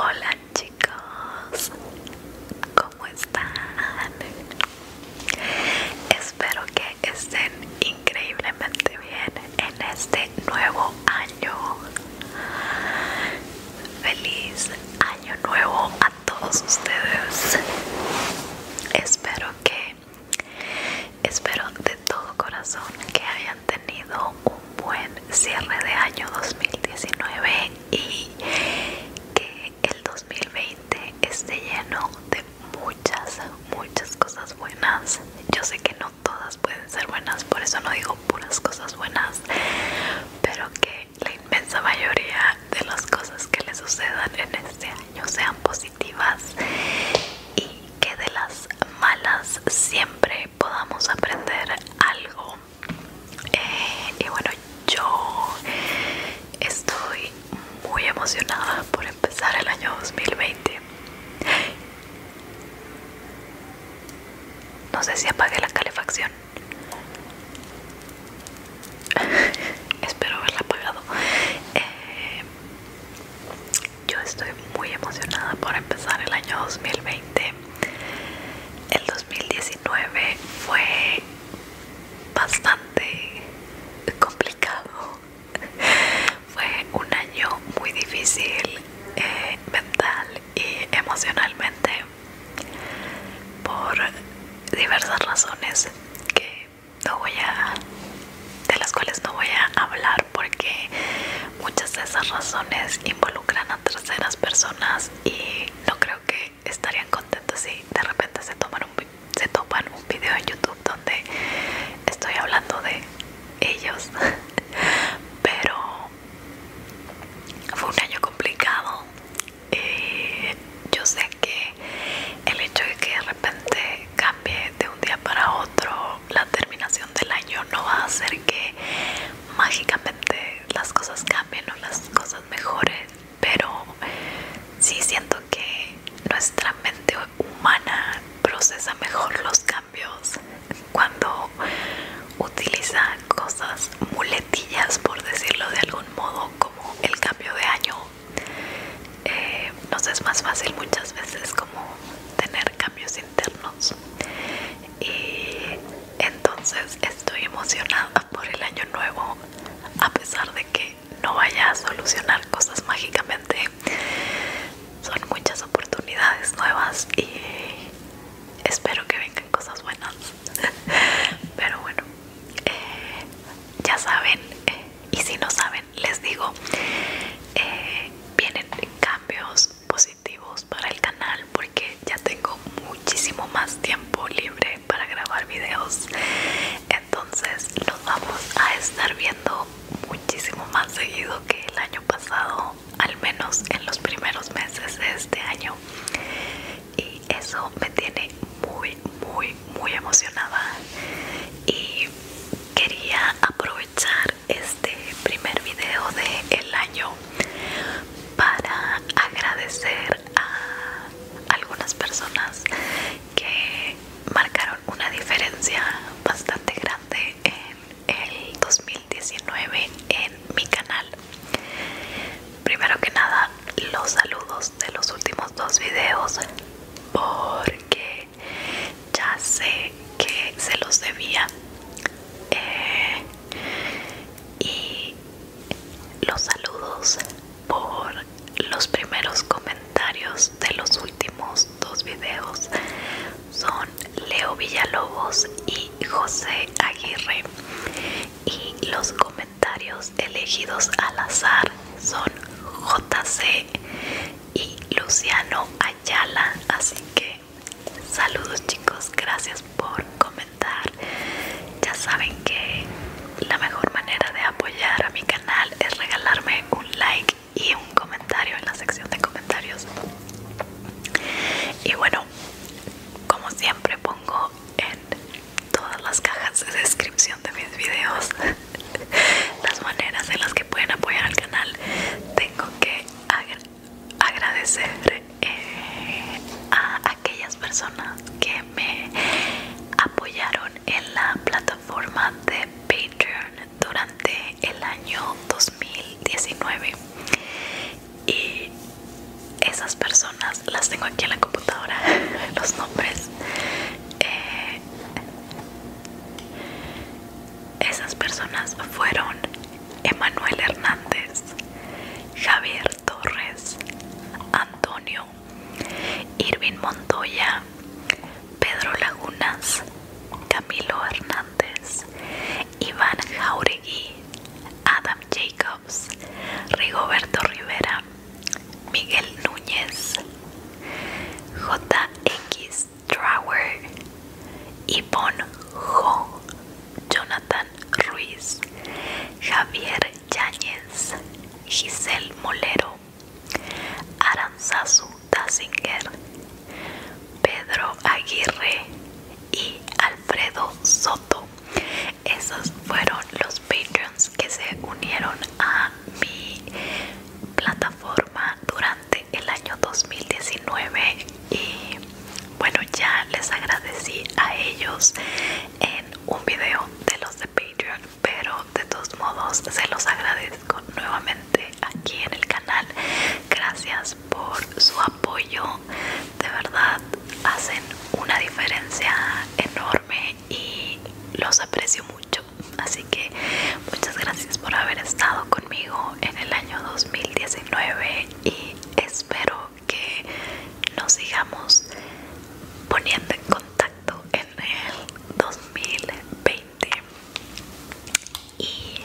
Hola chicos, ¿cómo están? Espero que estén increíblemente bien en este nuevo año. Feliz año nuevo a todos ustedes. Espero que, espero de todo corazón que hayan tenido un buen cierre de año 2019 y que el 2020 esté lleno de muchas, muchas cosas buenas. Yo sé que no todas pueden ser buenas, por eso no digo puras cosas buenas, pero que la inmensa mayoría de las cosas que le sucedan en este año sean positivas y que de las malas siempre podamos aprender algo. Eh, y bueno, yo estoy muy emocionada por empezar el año 2020. No sé si apague la calefacción Espero haberla pagado. Eh, yo estoy muy emocionada por empezar el año 2020. El 2019 fue bastante complicado. Fue un año muy difícil eh, mental y emocionalmente por diversas razones que no voy a de las cuales no voy a hablar porque muchas de esas razones involucran a terceras personas y no creo que estarían contentos si de repente se toman un, se topan un video en YouTube donde estoy hablando de ellos pero fue un año complicado eh, yo sé que el hecho de que de repente cambie de un día para otro la terminación del año no va a hacer que mágicamente las cosas cambien o las cosas mejoren, pero sí siento que nuestra mente humana procesa mejor los cambios cuando utilizan cosas muletillas, por decirlo de algún modo, como el cambio de año, eh, nos es más fácil muchas veces como tener cambios internos. Y entonces estoy emocionada por el año nuevo, a pesar de que no vaya a solucionar cosas mágicamente. Son muchas oportunidades nuevas y espero que vengan cosas buenas pero bueno eh, ya saben eh, y si no saben les digo eh, vienen cambios positivos para el canal porque ya tengo muchísimo más tiempo libre para grabar videos entonces los vamos a estar viendo muchísimo más seguido que el año pasado, al menos en los primeros meses de este año. Y eso me tiene muy, muy, muy emocionada. Y quería aprovechar este primer video del año para agradecer a algunas personas que marcaron una diferencia bastante grande en el 2019 en mi canal primero que nada los saludos de los últimos dos videos porque ya sé que se los debía eh, y los saludos por los primeros comentarios de los últimos dos videos son Leo Villalobos y José Aguirre y los comentarios elegidos al azar son JC y Luciano Ayala así que saludos chicos gracias por comentar ya saben que la mejor manera de apoyar a mi canal es regalarme un like y un comentario en la sección de comentarios y bueno como siempre pongo en todas las cajas de descripción de mis videos las maneras en las que pueden apoyar al canal tengo que agradecer eh, a aquellas personas que me apoyaron en la plataforma de Patreon durante el año 2019 y esas personas las tengo aquí en la computadora los nombres eh, esas personas fueron Emanuel Hernández Javier Torres Antonio Irvin Montoya Pedro Lagunas Camilo Hernández Iván Jauregui, Adam Jacobs, Rigoberto Rivera, Miguel Núñez, JX Trauer, Yvonne Jo, Jonathan Ruiz, Javier Yáñez, Giselle Molero, Aranzazu Dazinger, Pedro Aguirre y Alfredo Soto. Esos fueron los Patreons que se unieron a mi plataforma durante el año 2019 y bueno ya les agradecí a ellos en un video de los de Patreon pero de todos modos se los agradezco nuevamente aquí en el canal. Gracias por su apoyo. De verdad, hacen una diferencia enorme y los aprecio mucho. Así que muchas gracias por haber estado conmigo en el año 2019 y espero que nos sigamos poniendo en contacto en el 2020 y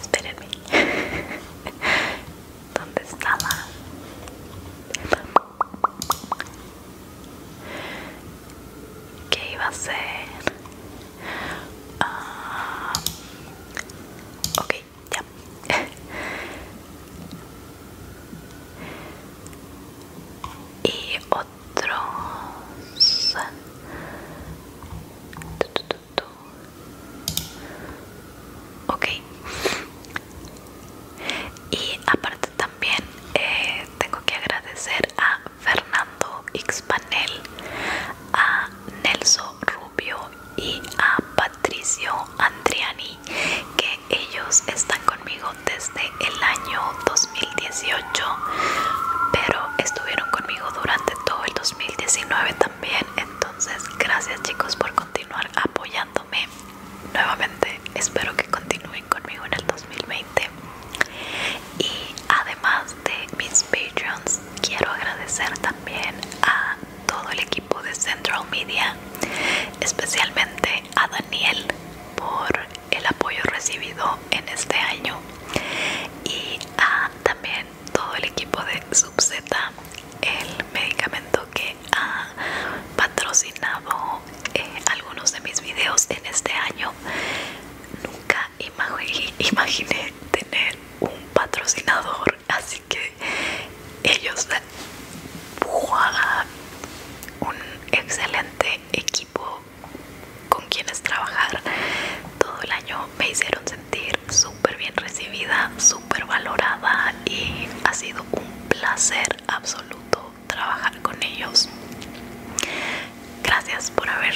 esperenme, dónde estaba qué iba a ser ah, okay ya y ok y aparte también eh, tengo que agradecer a Fernando Xpanel a Nelson Rubio y a Patricio Andriani que ellos están conmigo desde el año 2018 pero estuvieron conmigo durante todo el 2019 también entonces gracias chicos por continuar apoyándome nuevamente espero que continúen conmigo en el 2020 y además de mis patreons quiero agradecer también a todo el equipo de Central Media especialmente a Daniel por el apoyo recibido en este año y a ah, también todo el equipo de Subzeta, el medicamento que ha patrocinado eh, algunos de mis videos en este año. Nunca imaginé tener un patrocinador, así que ellos un excelente equipo con quienes trabajar todo el año me hicieron sentir súper bien recibida, súper valorada y ha sido un placer absoluto trabajar con ellos. Gracias por haber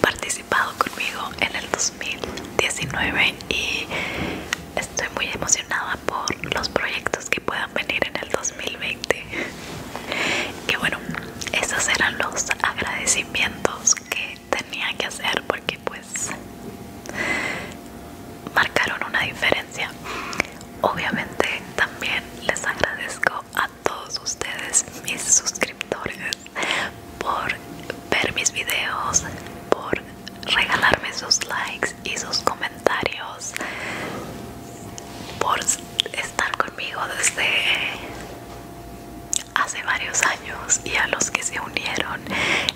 participado conmigo en el 2019 y estoy muy emocionada por los proyectos que puedan venir en el 2020 que bueno esos eran los agradecimientos que tenía que hacer porque pues marcaron una diferencia obviamente también les agradezco a todos ustedes mis suscriptores por ver mis videos por regalarme sus likes y sus comentarios por estar conmigo desde hace varios años y a los que se unieron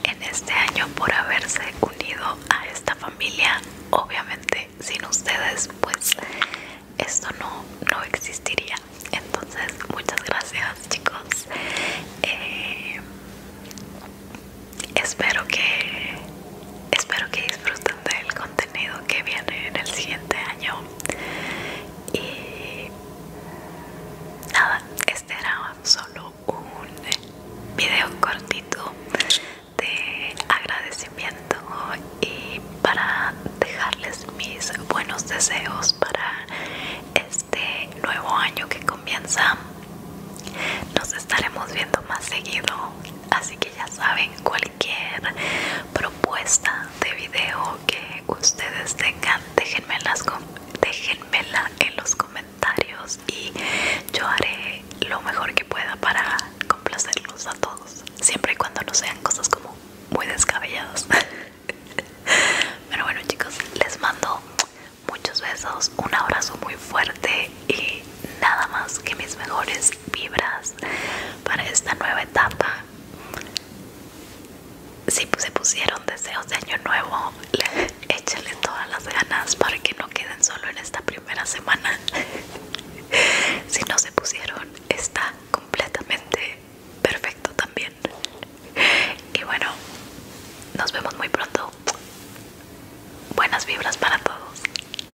en este año por haberse unido a esta familia obviamente sin ustedes pues esto no, no existiría entonces muchas gracias chicos eh, espero que espero que disfruten del contenido que viene en el siguiente año y nada este era solo un video cortito de agradecimiento y para dejarles mis buenos deseos para este nuevo año que comienza nos estaremos viendo más seguido Así que ya saben, cualquier propuesta de video que ustedes tengan, déjenmela en los comentarios y yo haré lo mejor que pueda para complacerlos a todos. Siempre y cuando no sean cosas como muy descabelladas. Pero bueno chicos, les mando muchos besos, un abrazo muy fuerte y nada más que mis mejores vibras para esta nueva etapa. Si se pusieron deseos de año nuevo, Échale todas las ganas para que no queden solo en esta primera semana. si no se pusieron, está completamente perfecto también. Y bueno, nos vemos muy pronto. Buenas vibras para todos.